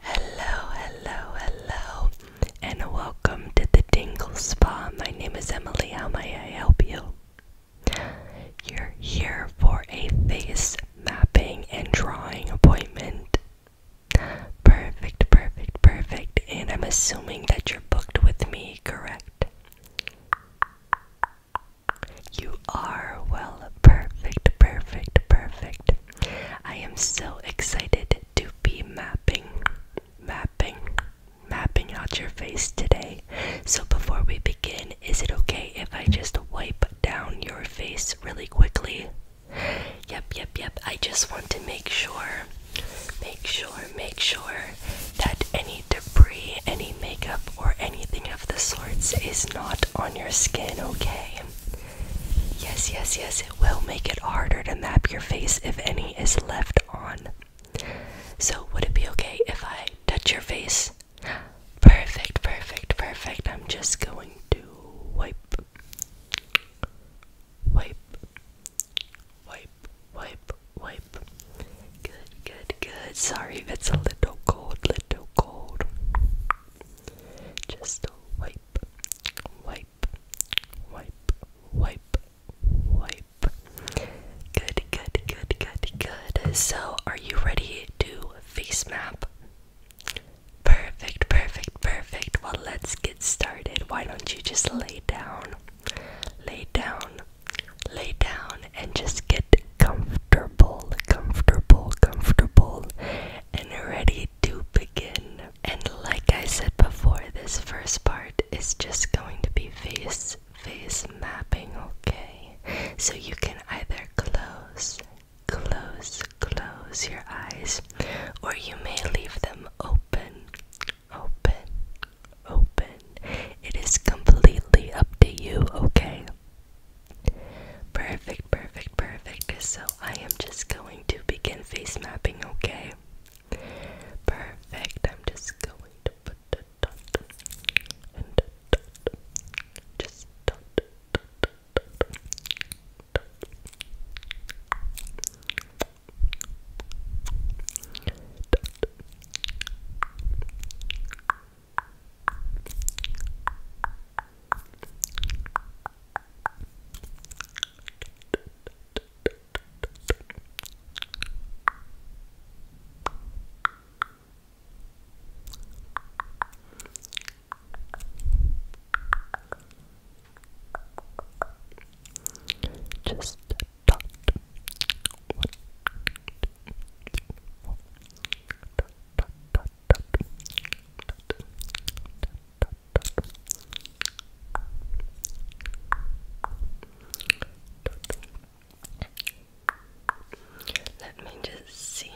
Hello, hello, hello, and welcome to the Dingle Spa. My name is Emily. How may I help you? You're here for a face mapping and drawing appointment. Perfect, perfect, perfect. And I'm assuming that you're booked with me, correct? You are well, perfect, perfect, perfect. I am so excited to be mapping, mapping, mapping out your face today. So, before we begin, is it okay if I just wipe down your face really quickly? Yep, yep, yep. I just want to make sure, make sure, make sure that any debris, any makeup, or anything of the sorts is not on your skin, okay? Yes, yes, yes, it will make it harder to map your face if any is left on. So, would it be okay if I touch your face? Perfect, perfect, perfect. I'm just going to wipe, wipe, wipe, wipe, wipe. Good, good, good. Sorry if it's a little cold, little cold. Just wipe, wipe, wipe, wipe, wipe. Good, good, good, good, good. So, are you ready to face map? Perfect, perfect, perfect. Well, let's get started. Why don't you just lay down? Lay down, lay down, and just get comfortable, comfortable, comfortable, and ready to begin. And like I said before, this first part is just going to be face face mapping, okay? So you can either close, close, close your eyes, or you may leave them open, open, open. It is completely up to you, okay? Perfect, perfect, perfect. So I am just going to begin face mapping, okay? Perfect. I'm just going to put the just dot one, two, three, four. Dot, dot, dot, let me just see.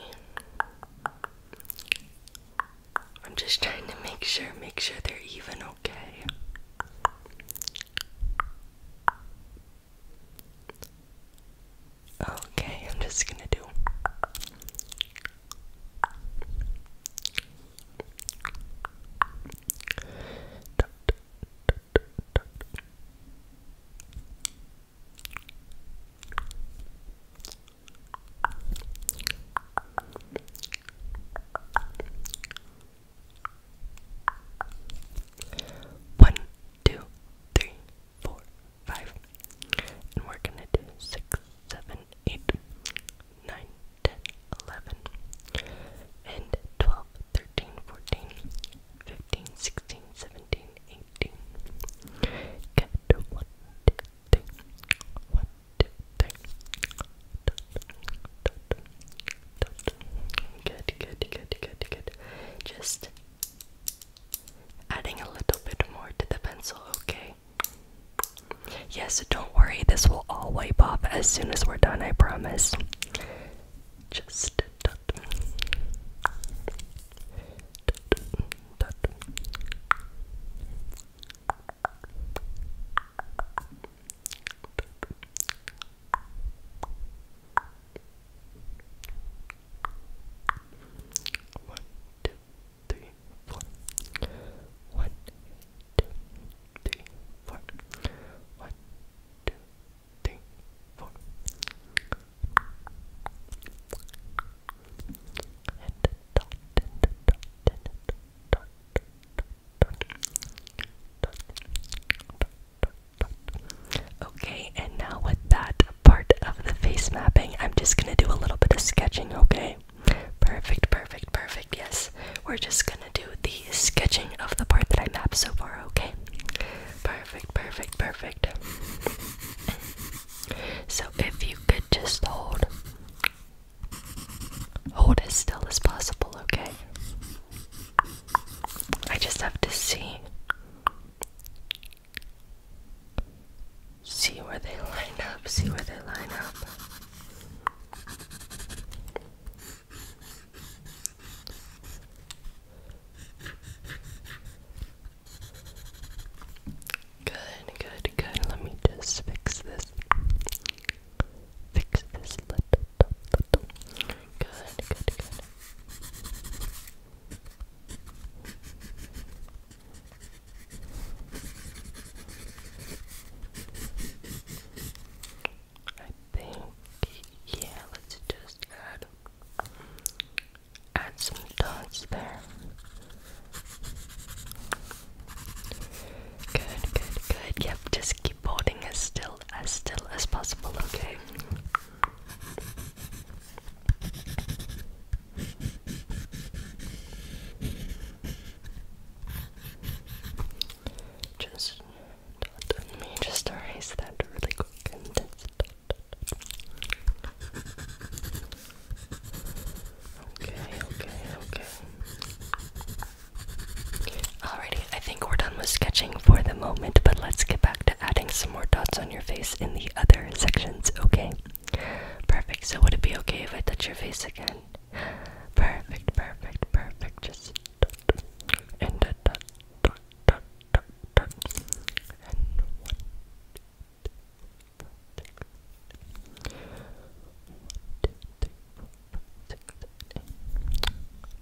I'm just trying to make sure, make sure they're even okay. Okay, I'm just gonna do. One, two, three, four, five. And we're gonna do six, seven, eight, nine, ten, eleven, and twelve, thirteen, fourteen, fifteen, sixteen, seventeen, eighteen. Get one, two, three, one, two, three. Good, good, good, good, good. Just Adding a little bit more to the pencil, okay? Yes, don't worry, this will all wipe off as soon as we're done, I promise. Just one, two, three, four. One, two, three, four. One, two, three, four. And dot, and dot, and dot, dot, dot, dot, dot, dot, dot, Okay, and now with that part of the face mapping, I'm just gonna do a little bit of sketching, okay? Perfect, perfect, perfect, yes. We're just gonna do the sketching of the part that I mapped so far, okay? Perfect, perfect, perfect. so if you could just hold. Hold as still as possible, okay? I just have to see. See where they line up, see where they line up. Good, good, good. Let me just fix this. Fix this little, Good, good, good. I think, yeah, let's just add, add some dots there. Good, good, good. Yep, just boarding as still as still as possible, okay? Just me just erase that really quick Okay, okay, okay. Alrighty, I think we're done with sketching for the moment, but let's get back to adding some more dots on your face in the other sections, okay? Perfect, so would it be okay if I touch your face again? Perfect, perfect, perfect, just dot, and a dot, dot, dot, dot, and one, two, three, four, six, eight,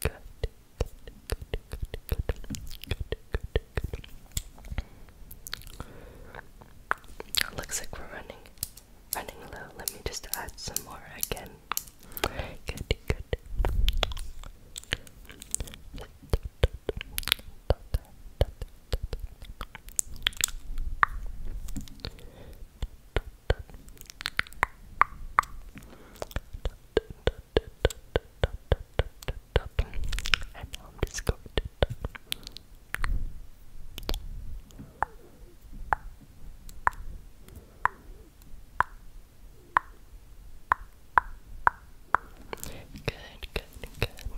Good, Looks like we're running, running low. Let me just add some more again. Good, good. And now I'm just going to Good, good,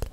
good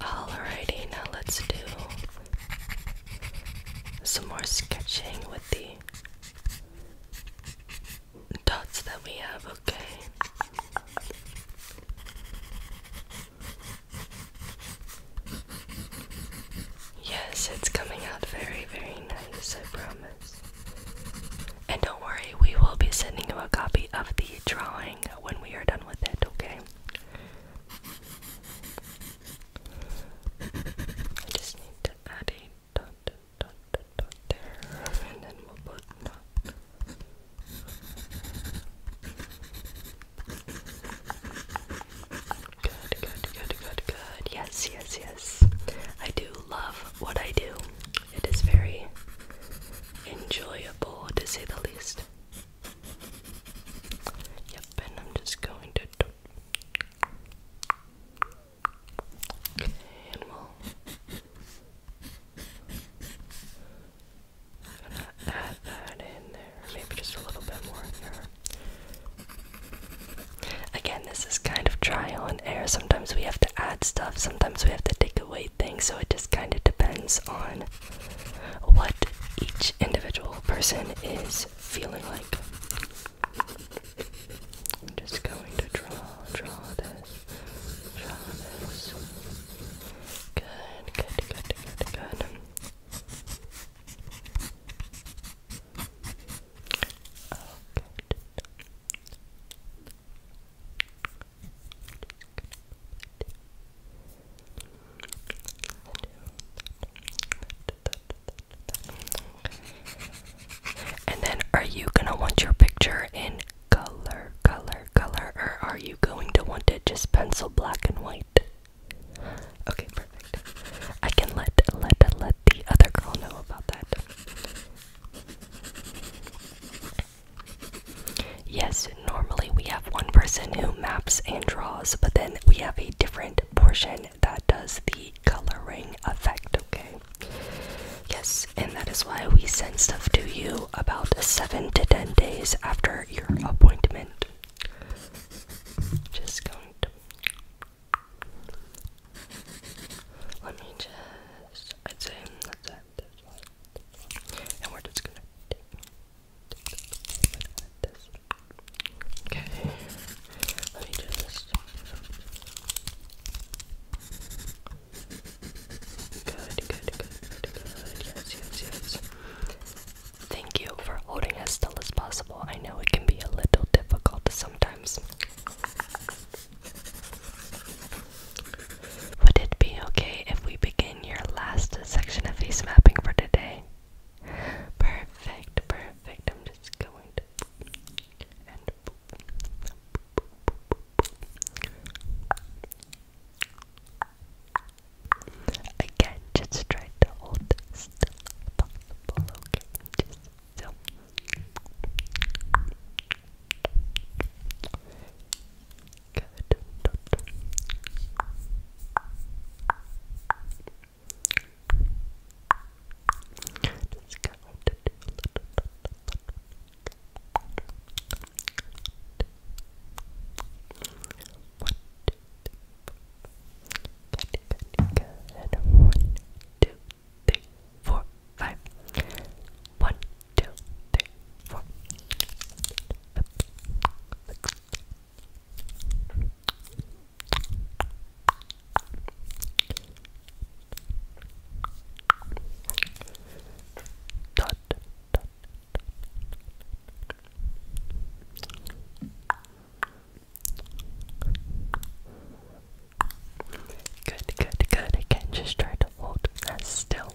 Alrighty, now let's do some more sketching with the dots that we have, okay? Yes, it's coming out very, very nice, I promise. And don't worry, we will be sending you a copy of the drawing when we are done with it, okay? I just need to add a dot, dot, dot, dot there, and then we'll put Good, good, good, good, good. Yes, yes, yes. I do love what I do. It is very enjoyable to say the least. Yep, and I'm just going to. add that in there, maybe just a little bit more in there. Again, this is kind of trial and error. Sometimes we have to add stuff, sometimes we have to dig weight thing, so it just kind of depends on what each individual person is feeling like. I'm just going to draw, draw this, draw this. Good, good, good, good, good. Oh, and then, are you gonna want your picture in color, color, color, or are you going to want it just pencil black and white? Okay, perfect. I can let let let the other girl know about that. Yes, normally we have one person who maps and draws, but then we have a different portion that does the coloring effect, okay? Yes, and that is why we send stuff to you about 7 to 10 days after your appointment. Just going to let me just. I'd say that's it. That's one, And we're just going Okay. Let me just. good, good, good, good. Yes, yes, yes. Thank you for holding as still as possible. I know it can be a little difficult sometimes. Would it be okay if we begin your last section of face mapping for today? Perfect, perfect. I'm just going to Again, just try to hold still so good. Good, good, good. One, two, three, four, five. One, two, three, four. Dot, Good, good, good. Again, just try to hold as still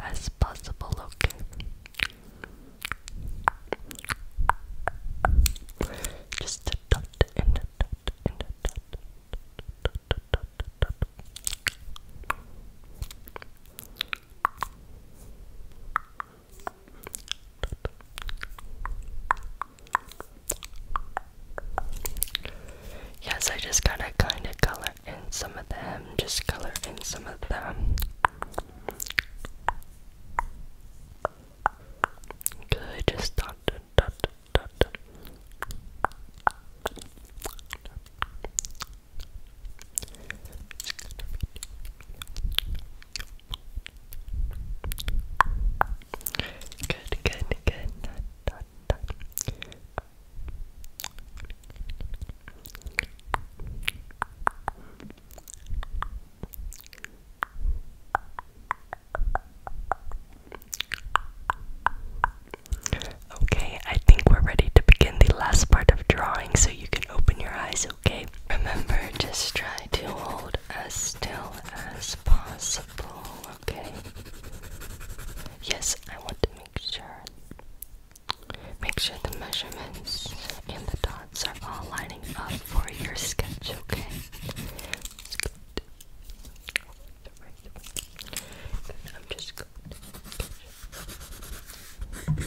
as possible, okay? Just a dot and a dot and a dot. Yes, I just gotta kind of color in some of them. Just color in some of them. Good, just Good, good, good. Done, done, Okay, I think we're ready to begin the last part of drawing so you can open your eyes, okay? Remember, just try to hold as still as possible, okay? Yes, I want to make sure. Make sure the measurements and the dots are all lining up for your sketch, okay? I'm just going to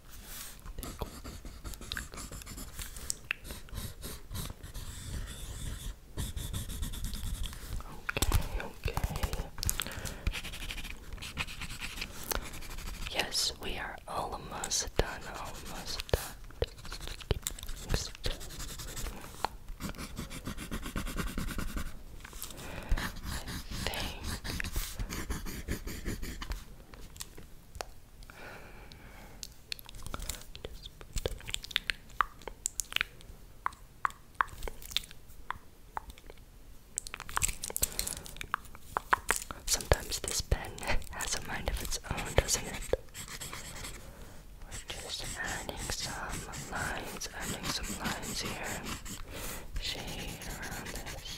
Okay, okay. Yes, we are almost done, almost done. Sometimes this pen has a mind of its own, doesn't it? We're just adding some lines, adding some lines here, shade around this.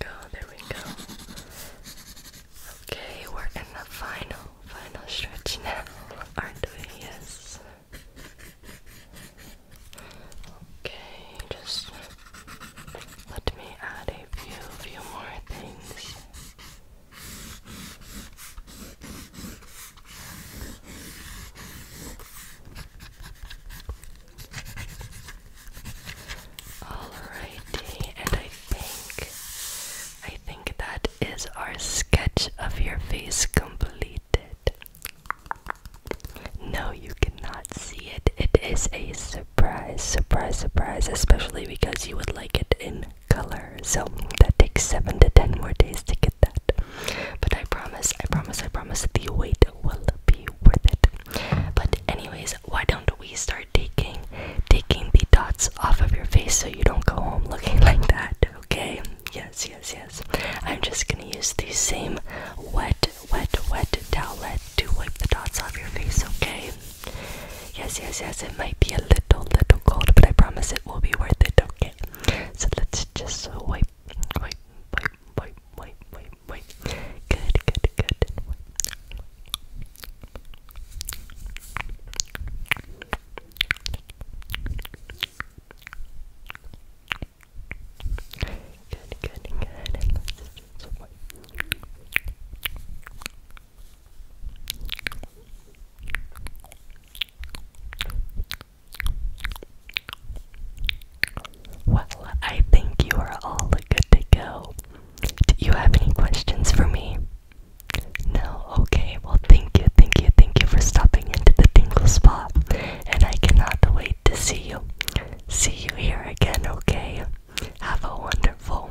go, there we go. Okay, we're in the final, final stretch now, aren't we? Yes. Okay, just let me add a few, few more things. Alrighty, and I think, I think that is our sketch of your face completed. No, you cannot see it. It is a surprise, surprise, surprise, especially because you would like it in color. So that takes 7 to 10 more days to get that. But I promise, I promise, I promise the wait will be worth it. But, anyways, why don't we start taking taking the dots off of your face so you don't go home looking like that, okay? Yes, yes, yes. I'm just gonna use the same wet wet, wet, wet towelette to wipe the dots off your face, okay? Yes, yes, yes, it might be a little, little cold, but I promise it will be worth it, okay? So let's just wipe, wipe, wipe, wipe, wipe, wipe, wipe. Good, good, good. Well, I think you are all good to go. Do you have any questions for me? No? Okay, well, thank you, thank you, thank you for stopping into the tingle spot. And I cannot wait to see you see you here again, okay? Have a wonderful,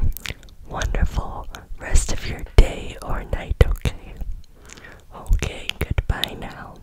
wonderful rest of your day or night, okay? Okay, goodbye now.